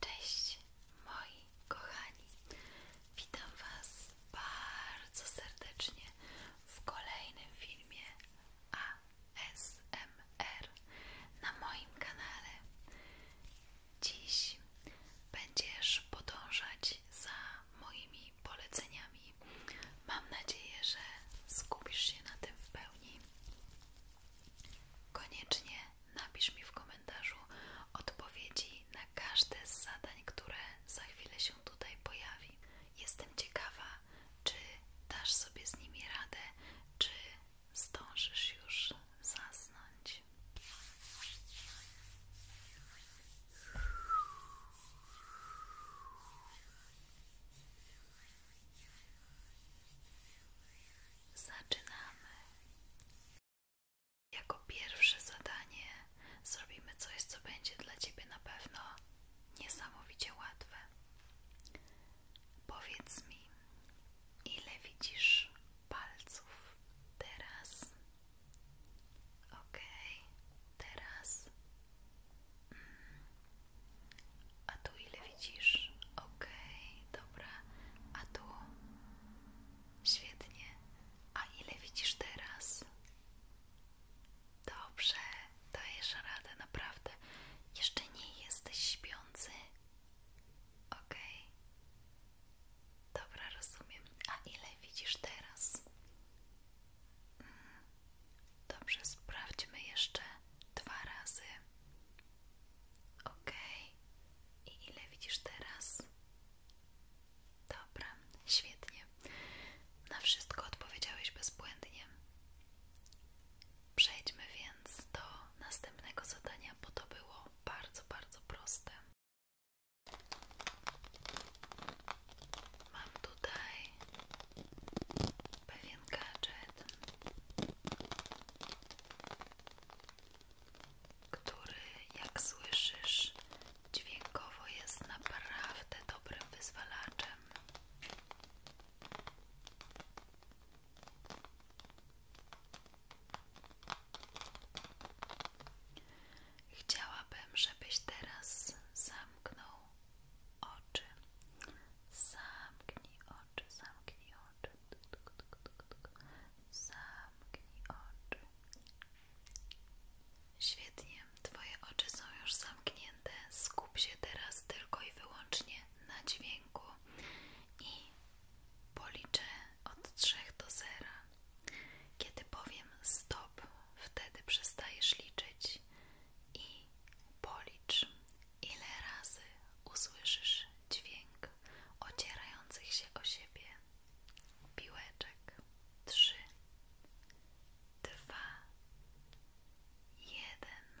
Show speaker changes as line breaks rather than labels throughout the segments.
Cześć moi kochani, witam Was bardzo serdecznie w kolejnym filmie ASMR na moim kanale. Dziś będziesz podążać za moimi poleceniami. Mam nadzieję, że skupisz się na tym w pełni. Koniecznie napisz mi w komentarzu odpowiedzi na każde z zadań, które za chwilę się tutaj pojawi. Jestem ciekawa, czy dasz sobie z nimi radę, czy zdążysz już zasnąć. Zaczynamy. Jako pierwsze zadanie zrobimy coś, co będzie dla Ciebie na pewno niesamowicie łatwe. Powiedz mi, ile widzisz palców teraz? Okej, okay. teraz. Mm. A tu ile widzisz? Okej, dobra. A tu? Świetnie. A ile widzisz teraz? Dobrze, dajesz radę, naprawdę. Jeszcze nie jesteś śpiący? Okej. Dobra, rozumiem. A ile widzisz teraz? Mm, dobrze, sprawdźmy jeszcze dwa razy. Ok. I ile widzisz teraz? Dobra, świetnie. Na wszystko odpowiedziałeś bezbłędnie. Przejdźmy więc do następnego zadania, bo to było bardzo, bardzo proste. Mam tutaj pewien gadżet, który jak słyszysz dźwiękowo jest naprawdę dobrym wyzwalaczem. Chciałabym, żebyś teraz zamknął oczy. Zamknij oczy, zamknij oczy. Zamknij oczy. Świetnie, Twoje oczy są już zamknięte. Skup się teraz tylko i wyłącznie na dźwięku i policzę od trzech do zera. Kiedy powiem stop, wtedy przestajesz liczyć i policz. Ile razy usłyszysz dźwięk ocierających się o siebie piłeczek? Trzy, dwa, jeden.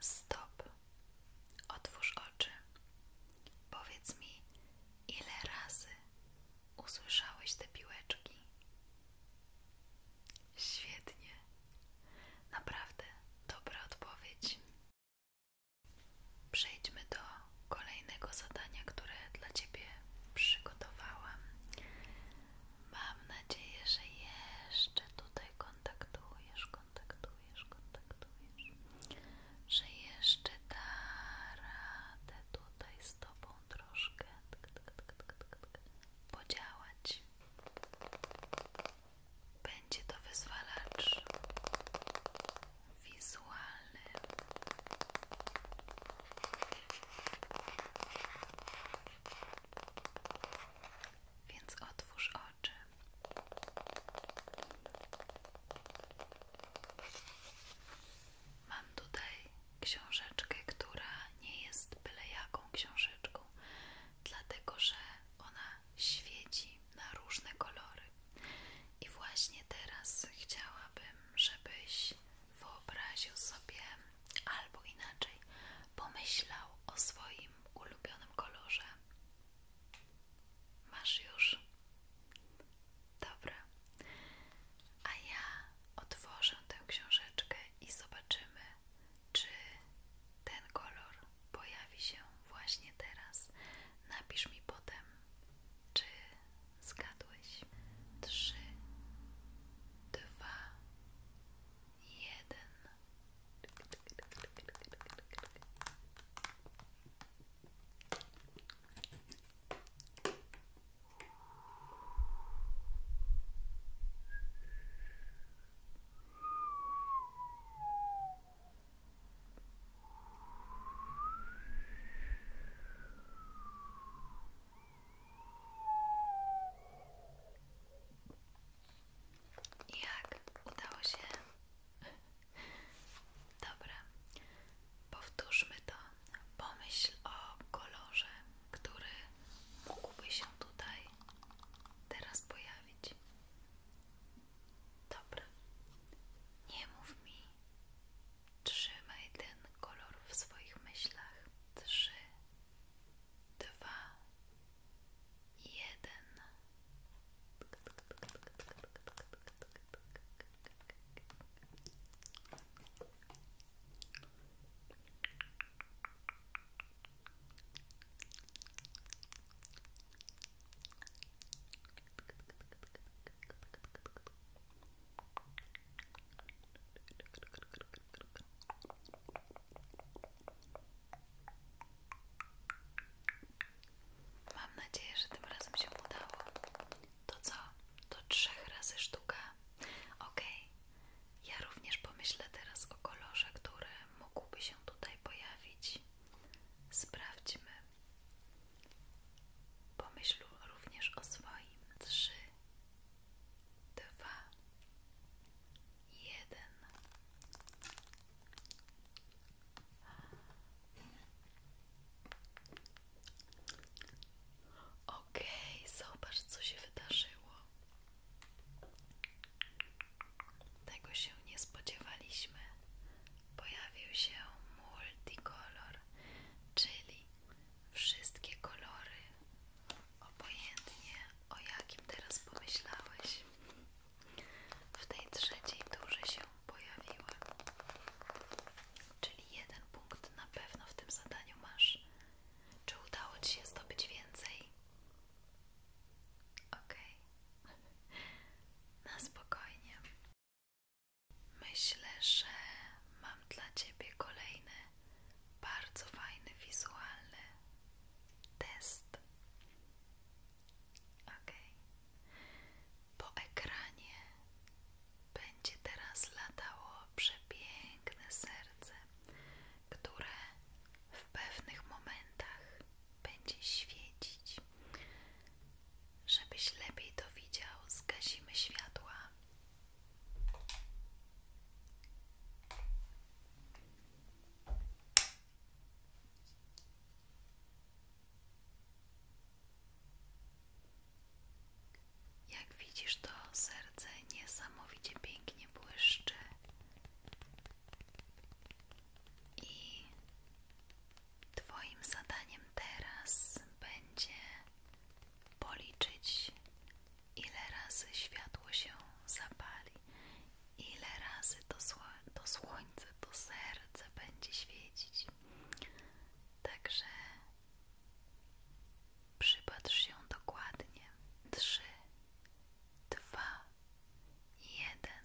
Stop. Otwórz oczy. Powiedz mi, ile razy usłyszałeś te piłeczki? Świetnie. Naprawdę dobra odpowiedź. Przejdźmy do kolejnego zadania, które dla Ciebie przygotowałam. Mam nadzieję, że jeszcze tutaj kontaktujesz, kontaktujesz, kontaktujesz, że jeszcze da radę tutaj z Tobą troszkę podziałać. Będzie to wyzwalacz wizualnym. Więc otwórz oczy. Mam tutaj książeczkę, która nie jest byle jaką książeczką, dlatego że ona świeci na różne kolory. I właśnie teraz chciałabym, żebyś wyobraził sobie, albo inaczej, pomyślał o swoim ulubionym kolorze. Masz już? Dobra. A ja otworzę tę książeczkę i zobaczymy, czy ten kolor pojawi się właśnie teraz. Napisz mi potem, czy zgadłeś. Trzy, dwa, 1. Jak udało się? Dobra, powtórzmy to. Pomyśl o kolorze, który mógłby się tutaj teraz pojawić. Dobra, nie mów mi. Trzymaj ten kolor w swoich myślach. Trzy, dwa, jeden. Mam nadzieję, że tym razem się udało. To co? To trzech razy sztuka. Ok. Ja również pomyślę teraz o kolorze, który mógłby się tutaj pojawić. Sprawdźmy. Pomyśl również o swoim. Trzy, dwa, jeden. Okej, zobacz, co się wydarzyło. Tego się nie spodziewaliśmy. Pojawił się multicolor, czyli wszystkie kolory, obojętnie o jakim teraz pomyślałeś. W tej trzeciej turze się pojawiły. Czyli jeden punkt na pewno w tym zadaniu masz. Czy udało Ci się zdobyć więcej? OK, na spokojnie. Myślę, że mam dla Ciebie kolejny bardzo fajny wizualny test. Ok, po ekranie będzie teraz latało przepiękne serce które w pewnych momentach będzie świecić. Żebyś lepiej to widział, zgasimy światła. Jak widzisz, to serce niesamowicie pięknie błyszczy i Twoim zadaniem teraz będzie policzyć, ile razy światło się zapali, ile razy to, sło to słońce, to serce będzie świecić. Także przypatrz się dokładnie. Trzy, dwa, jeden.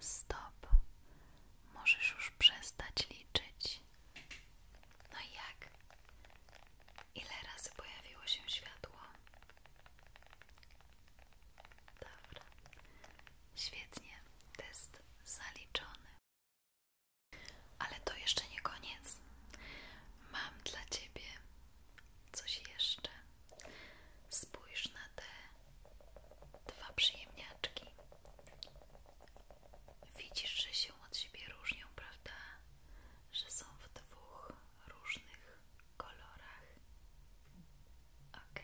Stop. Możesz już przestać liczyć. No jak? Ile razy pojawiło się światło? Dobra. Świetnie. Test zaliczony. Ale to jeszcze nie koniec. Mam dla ciebie coś jeszcze. Spójrz na te dwa przyjemniaczki. Widzisz, że się od siebie różnią, prawda? Że są w dwóch różnych kolorach. Ok.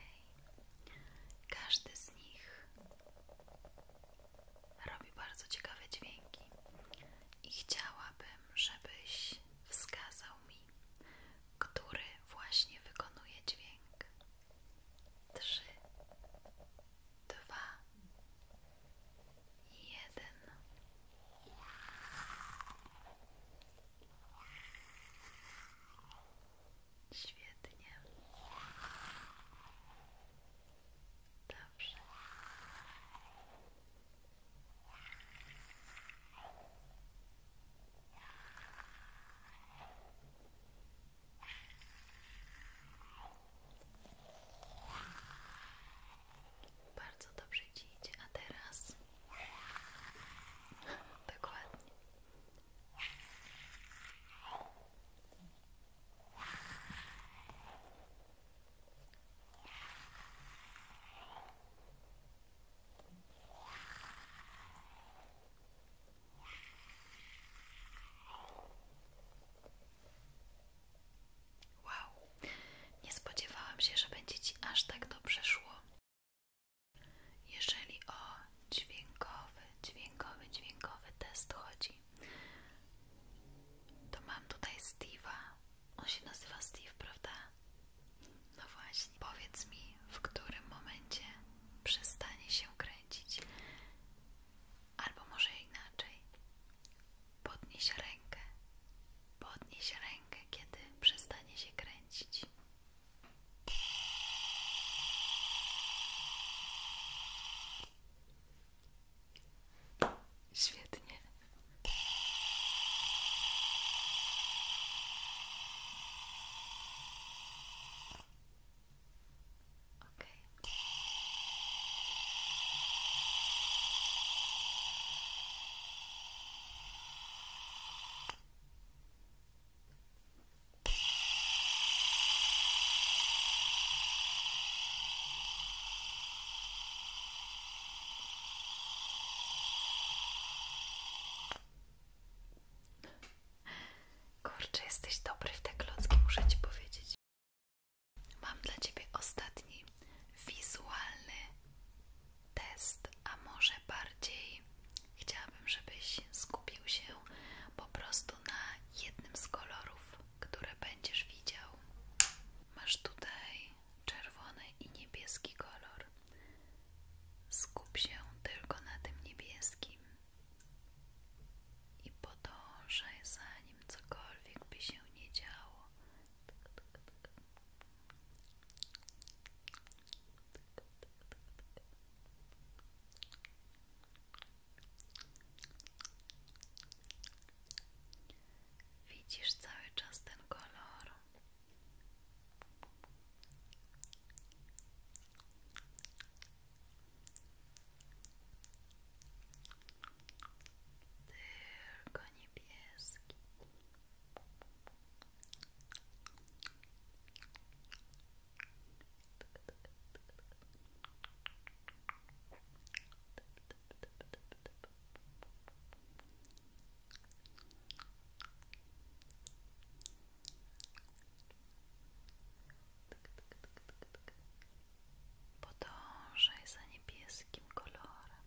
Każdy z nich robi bardzo ciekawe dźwięki i chciałabym, żebyś wskazał mi, który właśnie wykonuje dźwięk. Trzy, dwa, jeden. Świetnie. Dobrze. Bardzo dobrze ci a teraz dokładnie. Wow, nie spodziewałam się, że będzie Ci aż tak dobrze szło. Jeżeli o dźwiękowy, dźwiękowy, dźwiękowy test chodzi, to mam tutaj Steve'a. On się nazywa Steve, prawda? No właśnie. Powiedz mi, w którym momencie przestanie się kręcić. Albo może inaczej. Podnieś rękę. Podnieś rękę, kiedy przestanie się kręcić. Świetnie. Okay. Kurczę, jesteś dobry w te klocki, muszę ci powiedzieć. Mam dla ciebie ostatni wizualny test, a może bardziej Chciałabym, żebyś skupił się po prostu na jednym z kolorów, które będziesz widział. Masz tutaj czerwony i niebieski kolor. Skup się tylko na tym niebieskim i podążaj za nim, cokolwiek by się nie działo. Widzisz cały czas ten kolor. Tylko niebieski. Podążaj za niebieskim kolorem.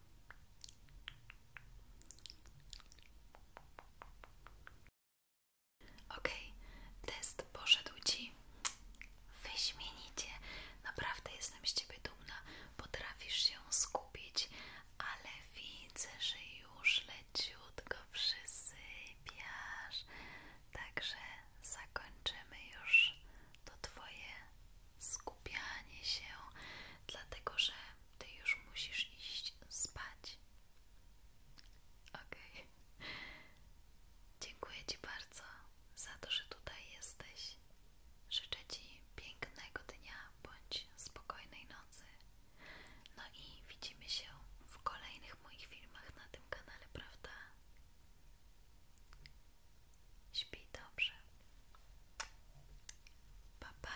OK, test poszedł Ci wyśmienicie. Naprawdę jestem z Ciebie dumna. Potrafisz się skupić, ale widzę, że już leciutko przysypiasz. Także zakończymy już to Twoje skupianie się, dlatego że ty już musisz iść spać. OK. Dziękuję Ci bardzo za to, że tutaj jesteś. Życzę Ci pięknego dnia bądź spokojnej nocy. No i widzimy się w kolejnych moich filmach na tym kanale, prawda? Śpij dobrze. Pa, pa.